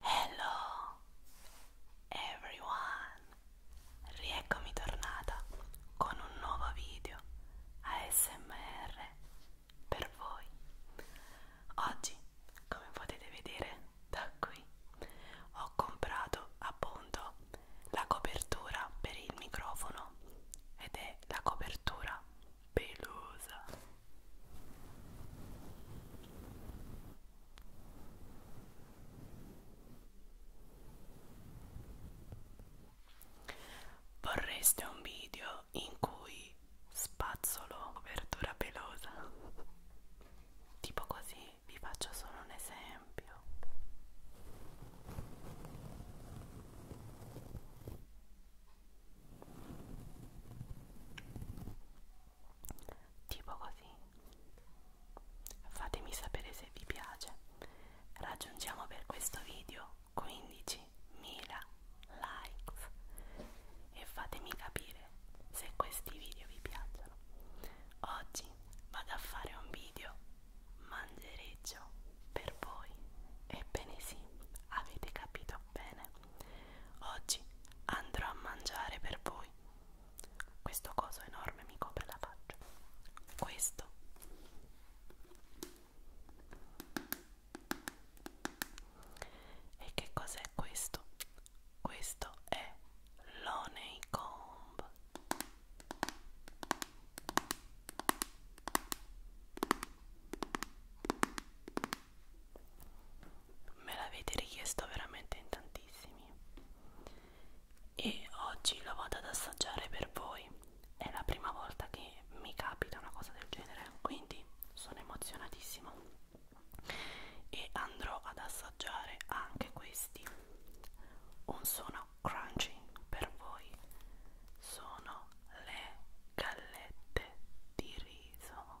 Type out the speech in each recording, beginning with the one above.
Hello everyone! Rieccomi tornata con un nuovo video ASMR per voi. Oggi, come potete vedere da qui, ho comprato appunto la copertura per il microfono ed è la copertura pelosa Vorreste un video in cui spazzolo copertura pelosa? Tipo così, vi faccio solo un esempio tipo così fatemi sapere se vi piace raggiungiamo per questo video 15.000 likes e fatemi capire se questi video vi piacciono oggi vado a fare un video mangereggio per voi ebbene sì avete capito bene Oggi andrò a mangiare per voi. Questo coso enorme mi copre la faccia. Questo e che cos'è questo? Questo è l'Oneycomb me l'avete richiesto veramente in tantissimi e oggi lo vado ad assaggiare per voi è la prima volta che mi capita una cosa del genere quindi sono emozionatissima e andrò ad assaggiare anche questi un suono crunchy per voi sono le gallette di riso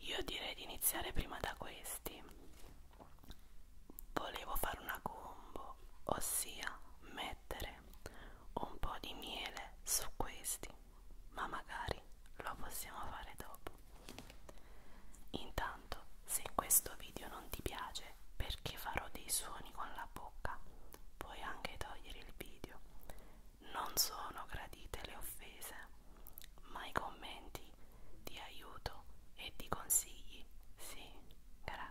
Io direi di iniziare prima da questi. Volevo fare una combo, ossia mettere un po' di miele su questi, ma magari lo possiamo fare dopo. Intanto, se questo video non ti piace perché farò dei suoni con la bocca, puoi anche togliere il video non sono gradite le offese, ma i commenti di aiuto e di consigli. Sì, grazie.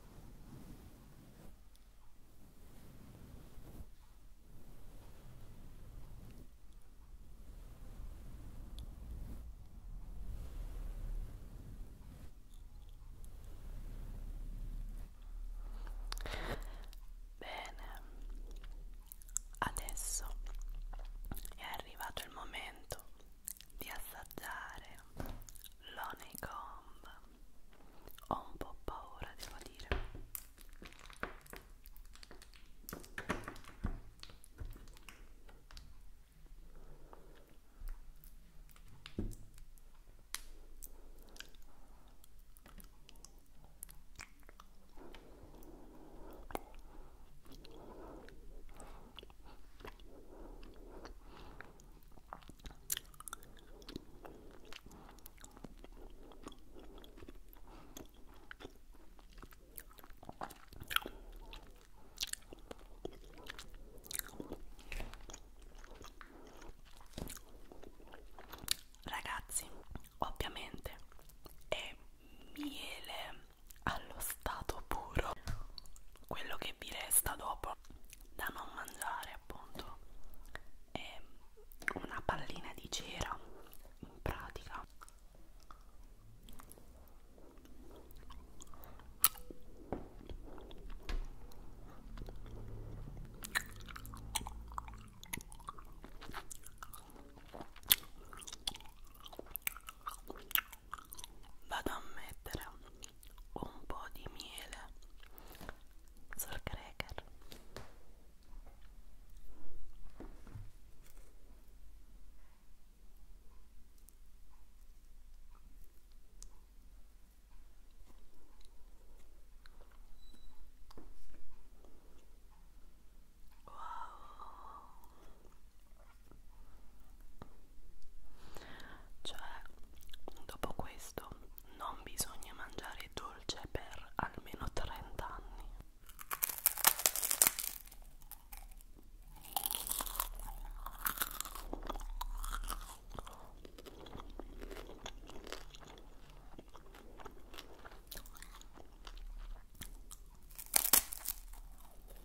Bene, adesso è arrivato il momento di assaggiare l'Honeycomb ho un po' paura devo dire Ragazzi, ovviamente è miele allo stato puro quello che vi resta dopo da non mangiare appunto è una pallina di cera in pratica vado a mettere un po' di miele sul cracker Wow, cioè, dopo questo non bisogna mangiare dolce per almeno 30 anni.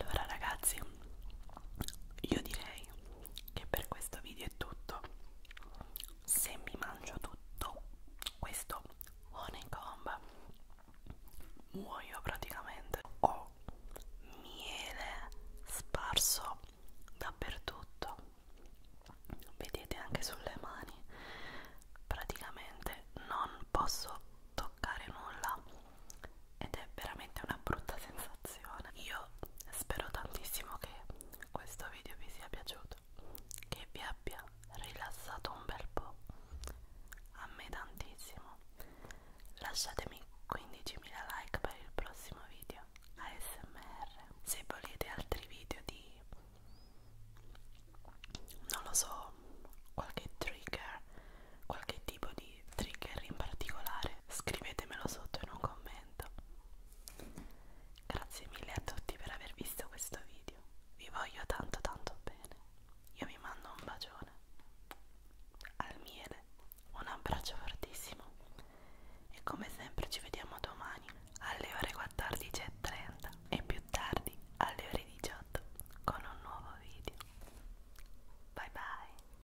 Allora ragazzi, io direi che per questo video è tutto se mi mangio tutto questo honeycomb muoio praticamente ho miele sparso dappertutto vedete anche sulle mani praticamente non posso toccare nulla ed è veramente una brutta sensazione. Io spero tantissimo che questo video vi sia piaciuto, che vi abbia rilassato un bel po', a me tantissimo. Lasciatemi 15.000 like per il prossimo video ASMR. Se volete altri video di non lo so, qualche trigger, qualche tipo di di trigger in particolare scrivetemelo sotto in un commento grazie mille a tutti per aver visto questo video vi voglio tanto tanto bene io vi mando un bacione al miele un abbraccio fortissimo e come sempre ci vediamo domani alle ore 14.30 e più tardi alle ore 18 con un nuovo video bye bye